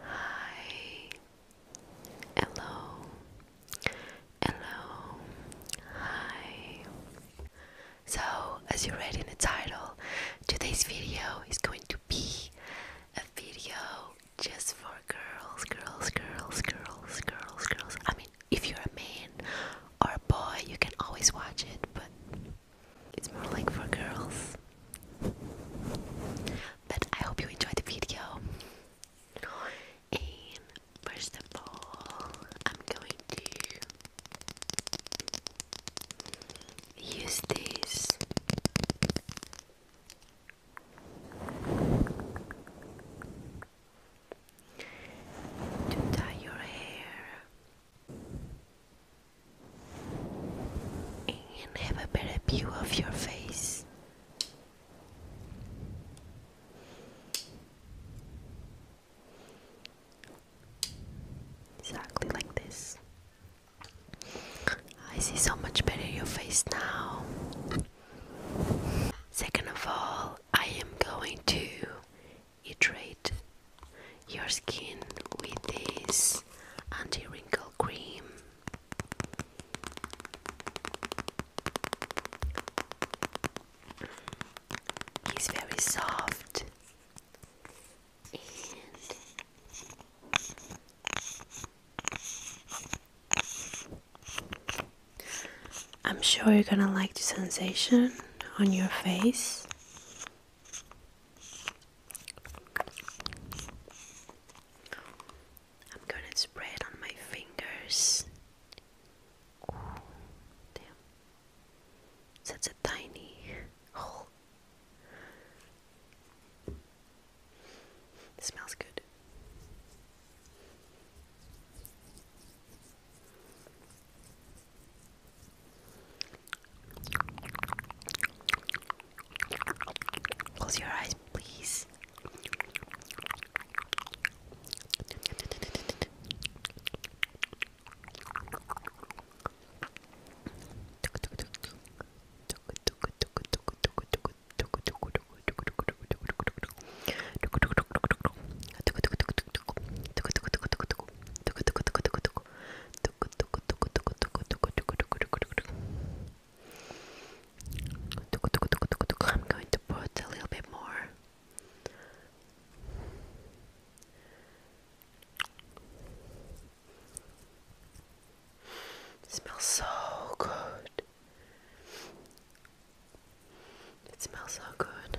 Hi. Hello. Hello. Hi. So, as you read in the title, today's video is going to be a video just for girls, girls, girls, girls, girls, girls. I mean, if you're a man or a boy, you can always watch it, but it's more like for girls. But I hope you enjoyed the video. And first of all, I'm going to use this. To dye your hair and have a better view of your face. Exactly like this. I see so much better your face now. Second of all, I am going to iterate your skin with this anti wrinkle cream. It's very soft I'm sure you're gonna like the sensation on your face. I'm gonna spray it on my fingers. damn. Such a tiny hole. smells good. Close your eyes, please. I'm going to put a little bit more. smells so good. It smells so good.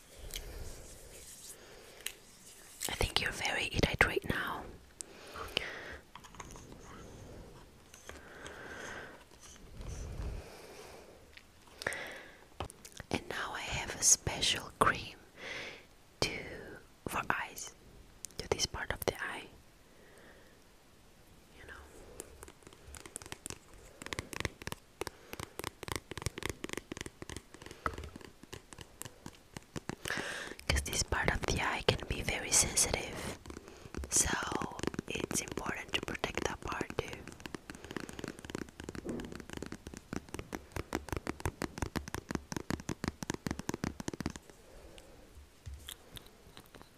I think you're very irate now. And now I have a special cream to for eyes to this part of the eye. You know. Because this part of the eye can be very sensitive, so it's important to protect that part too.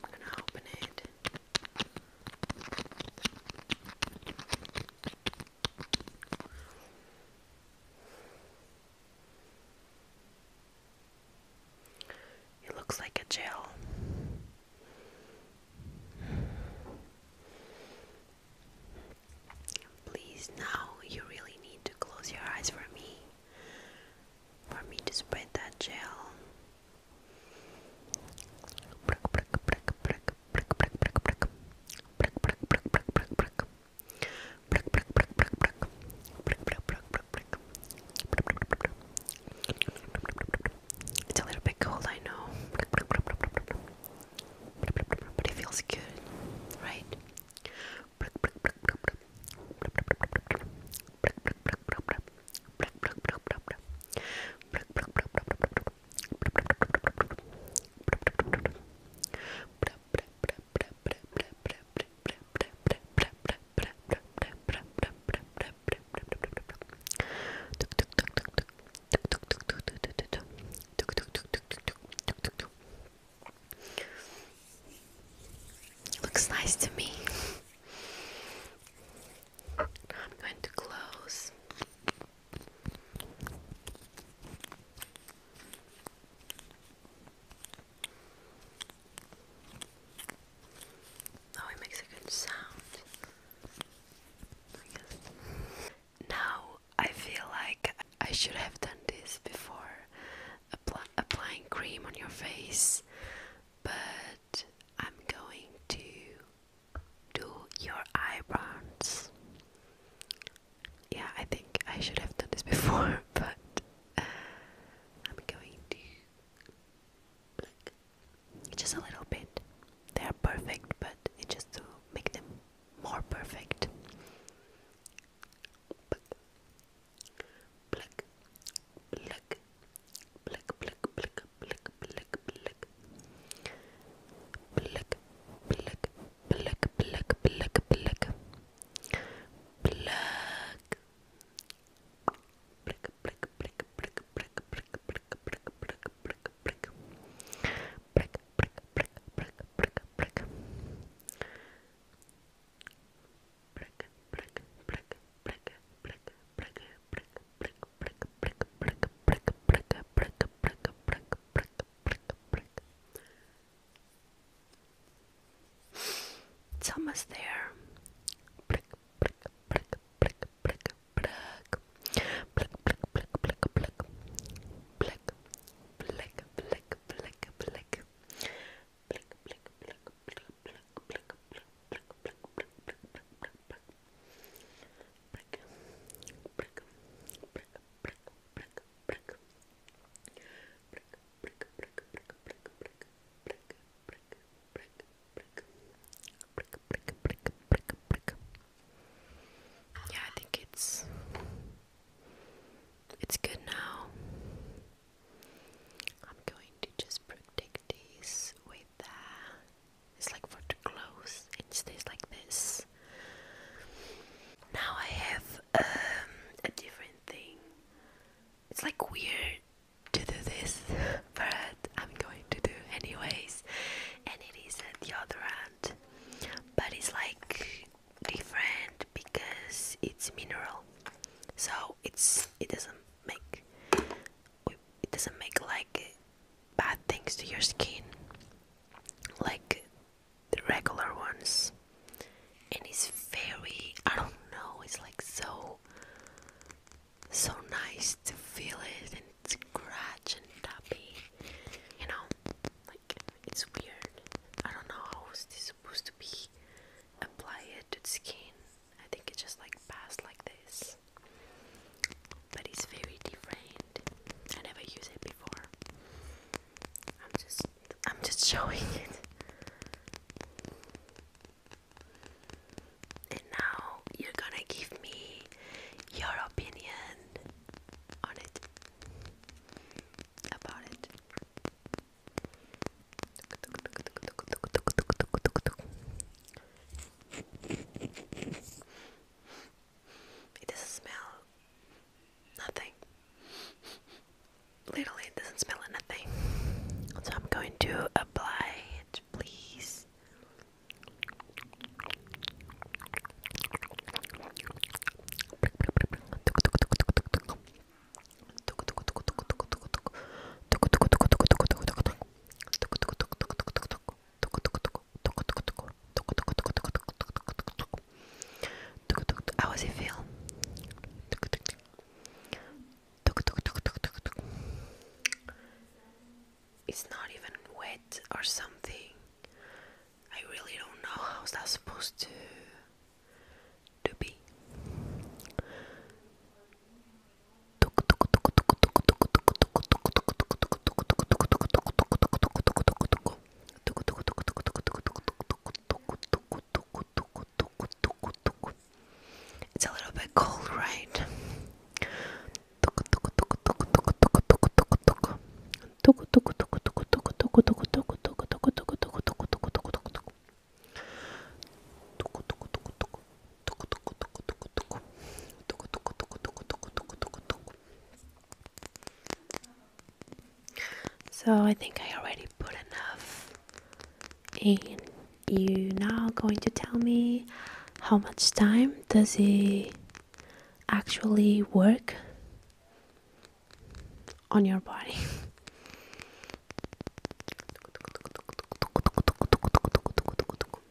I'm gonna open it. It looks like a gel. Please, now you really need to close your eyes for me. For me to spread that gel. Prick, prick, prick, prick, Brick, brick, brick, brick. Brick, brick, brick, brick, brick, brick. Brick, brick, brick, brick, brick. Brick, brick, brick, brick, brick. It's a little bit cold, I know. But it feels good, right? Brick, brick, brick, brick, brick. Brick, brick, brick, brick, brick. Brick, brick, brick, brick, brick. Brick, brick, brick, brick, brick. It Looks nice to me. I'm going to close Oh, it makes a good sound. Now I feel like I should have done this before applying cream on your face, but I'm going to do your eyebrows. Yeah, I think I should have done this before, but uh, I'm going to just a little bit. They are perfect, but it's just to make them more perfect. Pluck, pluck, pluck, pluck, pluck, pluck, blick, blick, blick. Blick, blick, blick, blick, blick, blick. Black. Brick, brick, brick, brick, brick, brick, brick, brick, brick, brick, brick. Brick, brick, brick, brick, brick, brick. Brick, brick, brick, brick, brick, brick, brick, brick. It's almost there. Brick, brick, Yeah, I think it's it's good now. I'm going to just protect with uh, it's like for the clothes. It stays like this. Now I have um, a different thing. It's like weird to do this, but I'm going to do anyways. And it is at the other end, but it's like different because it's mineral, so it's it doesn't make it doesn't make like bad things to your skin like the regular ones and it's very I don't know it's like so so nice to feel it and scratch and tappy you know like it's weird I don't know how is this supposed to be applied to the skin I think it just like passed like this but it's very different. I never used it before. I'm just I'm just showing it. And now you're gonna give me your opinion on it about it. It doesn't smell nothing. Literally, it doesn't smell anything. So I'm going to apply it, please. How does it feel? It's not even wet or something. I really don't know how's that supposed to to be. It's a little bit cold, right? So I think I already put enough in. You now going to tell me how much time does it actually work on your body?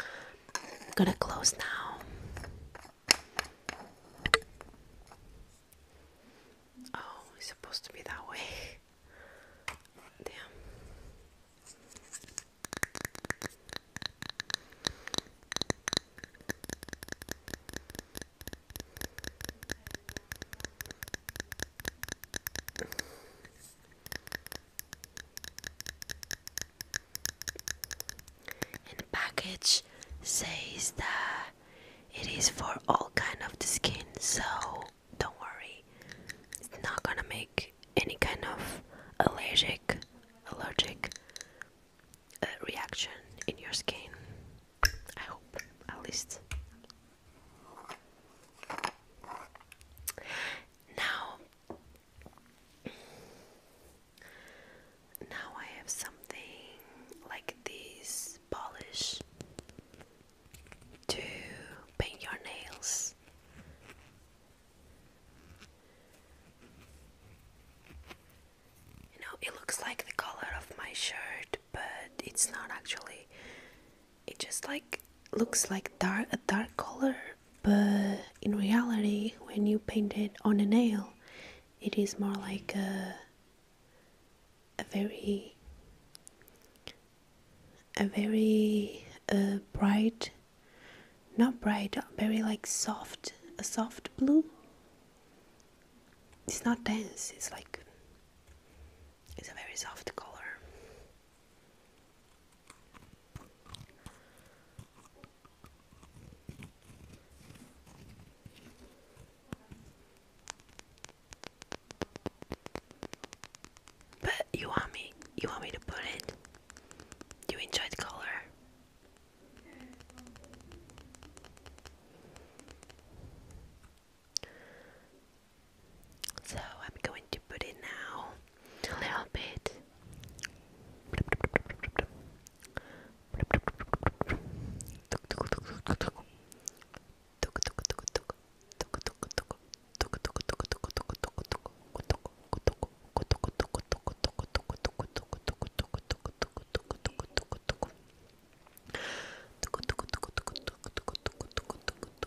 I'm gonna close now. Oh, it's supposed to be that way. Damn. And package says that it is for all kind of the skin, so don't worry, it's not gonna make any kind of allergic, allergic uh, reaction in your skin. I hope, at least. Now, now I have something like this polish to paint your nails. You know, it looks like the color of my shirt, but it's not actually it just like looks like dark a dark color but in reality when you paint it on a nail it is more like a a very a very uh, bright not bright very like soft a soft blue it's not dense it's like it's a very soft color but you want me you want me to put it? you enjoy the color? So I'm going to put it now a little bit.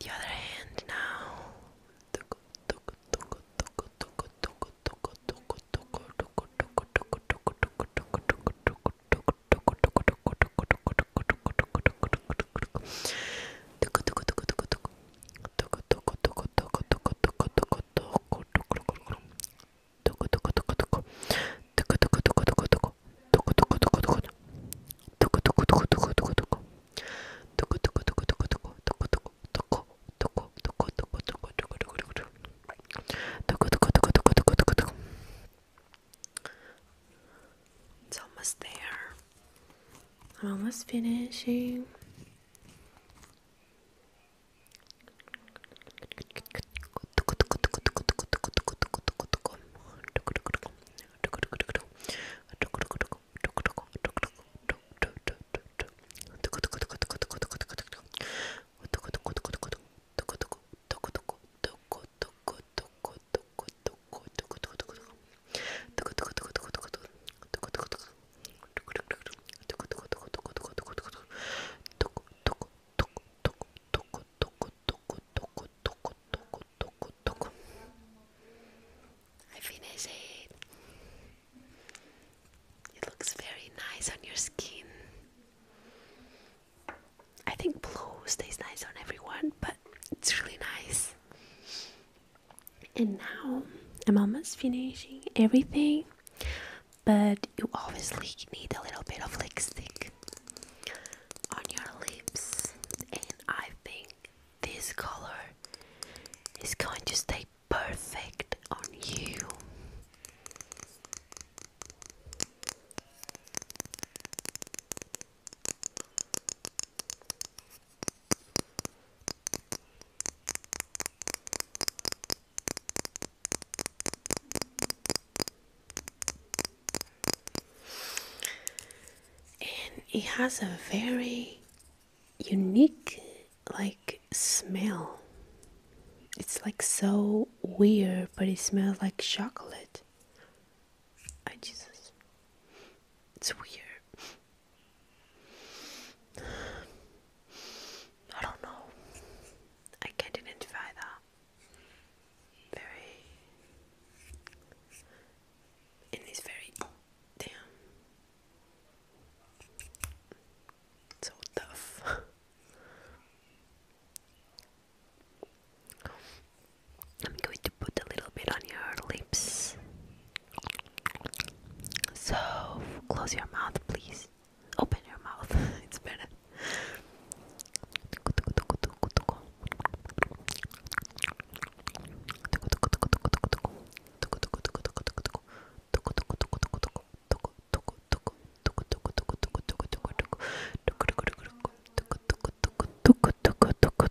The other hand now. It's almost there. I'm almost finishing. I finish it. It looks very nice on your skin. I think blue stays nice on everyone, but it's really nice. And now I'm almost finishing everything, but you obviously need a little bit of lipstick on your lips, and I think this color is going to stay perfect on you and it has a very unique like smell it's like so weird but it smells like chocolate I Jesus. It's weird. I don't know. I can't identify that. Very. it's very. Damn. So tough. I'm going to put a little bit on your lips. So close your mouth, please. Open your mouth, it's better.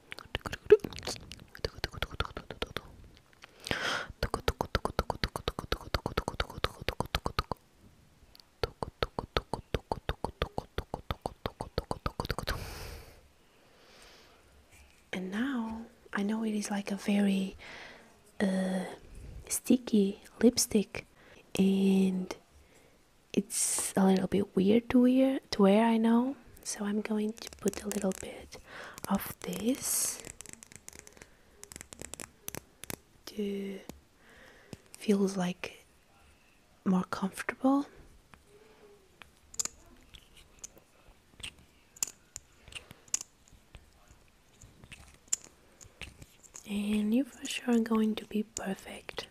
And now I know it is like a very uh, sticky lipstick, and it's a little bit weird to wear to wear I know so I'm going to put a little bit of this to feels like more comfortable and you for sure are going to be perfect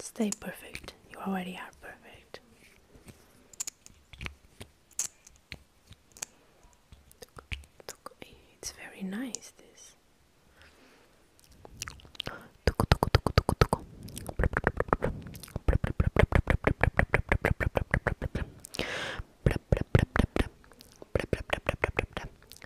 Stay perfect. You already are perfect. It's very nice, this.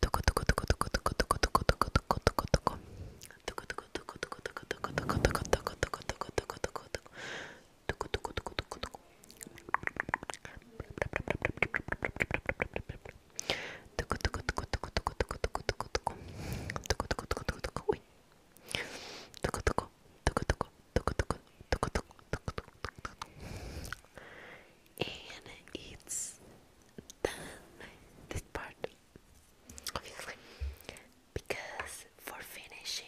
Toco, toco, than this part, obviously, because for finishing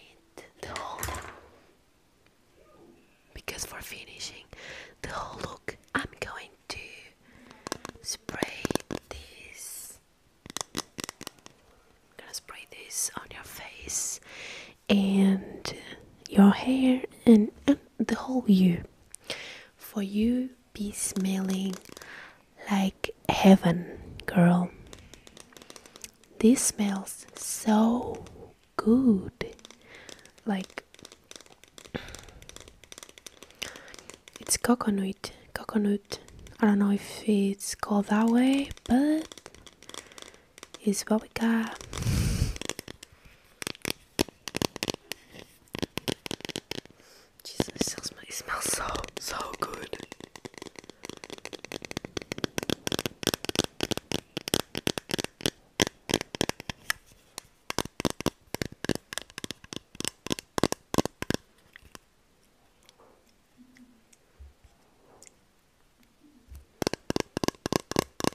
the whole, because for finishing the whole look, I'm going to spray this. I'm gonna spray this on your face and your hair, and the whole you. For you be smelling like heaven, girl. This smells so good. Like it's coconut, coconut. I don't know if it's called that way, but it's what we got. Jesus, it smells, it smells so, so good.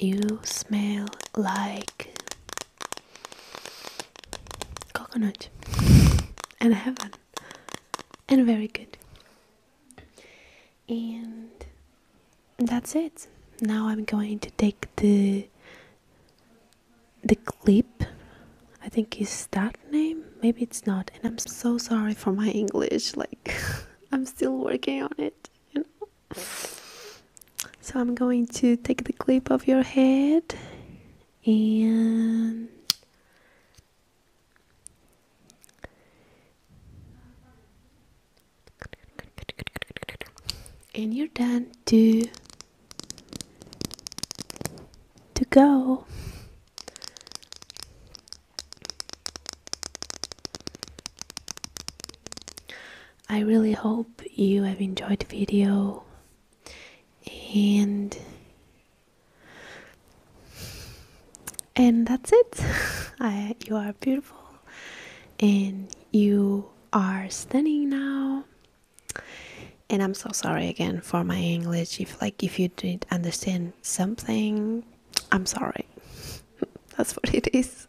you smell like coconut and heaven and very good. And that's it. Now I'm going to take the the clip. I think is that name. Maybe it's not. And I'm so sorry for my English. Like I'm still working on it. You know. So I'm going to take the clip of your head and and you're done to to go I really hope you have enjoyed the video and and that's it. you are beautiful and you are stunning now. And I'm so sorry again for my English if like if you didn't understand something, I'm sorry. that's what it is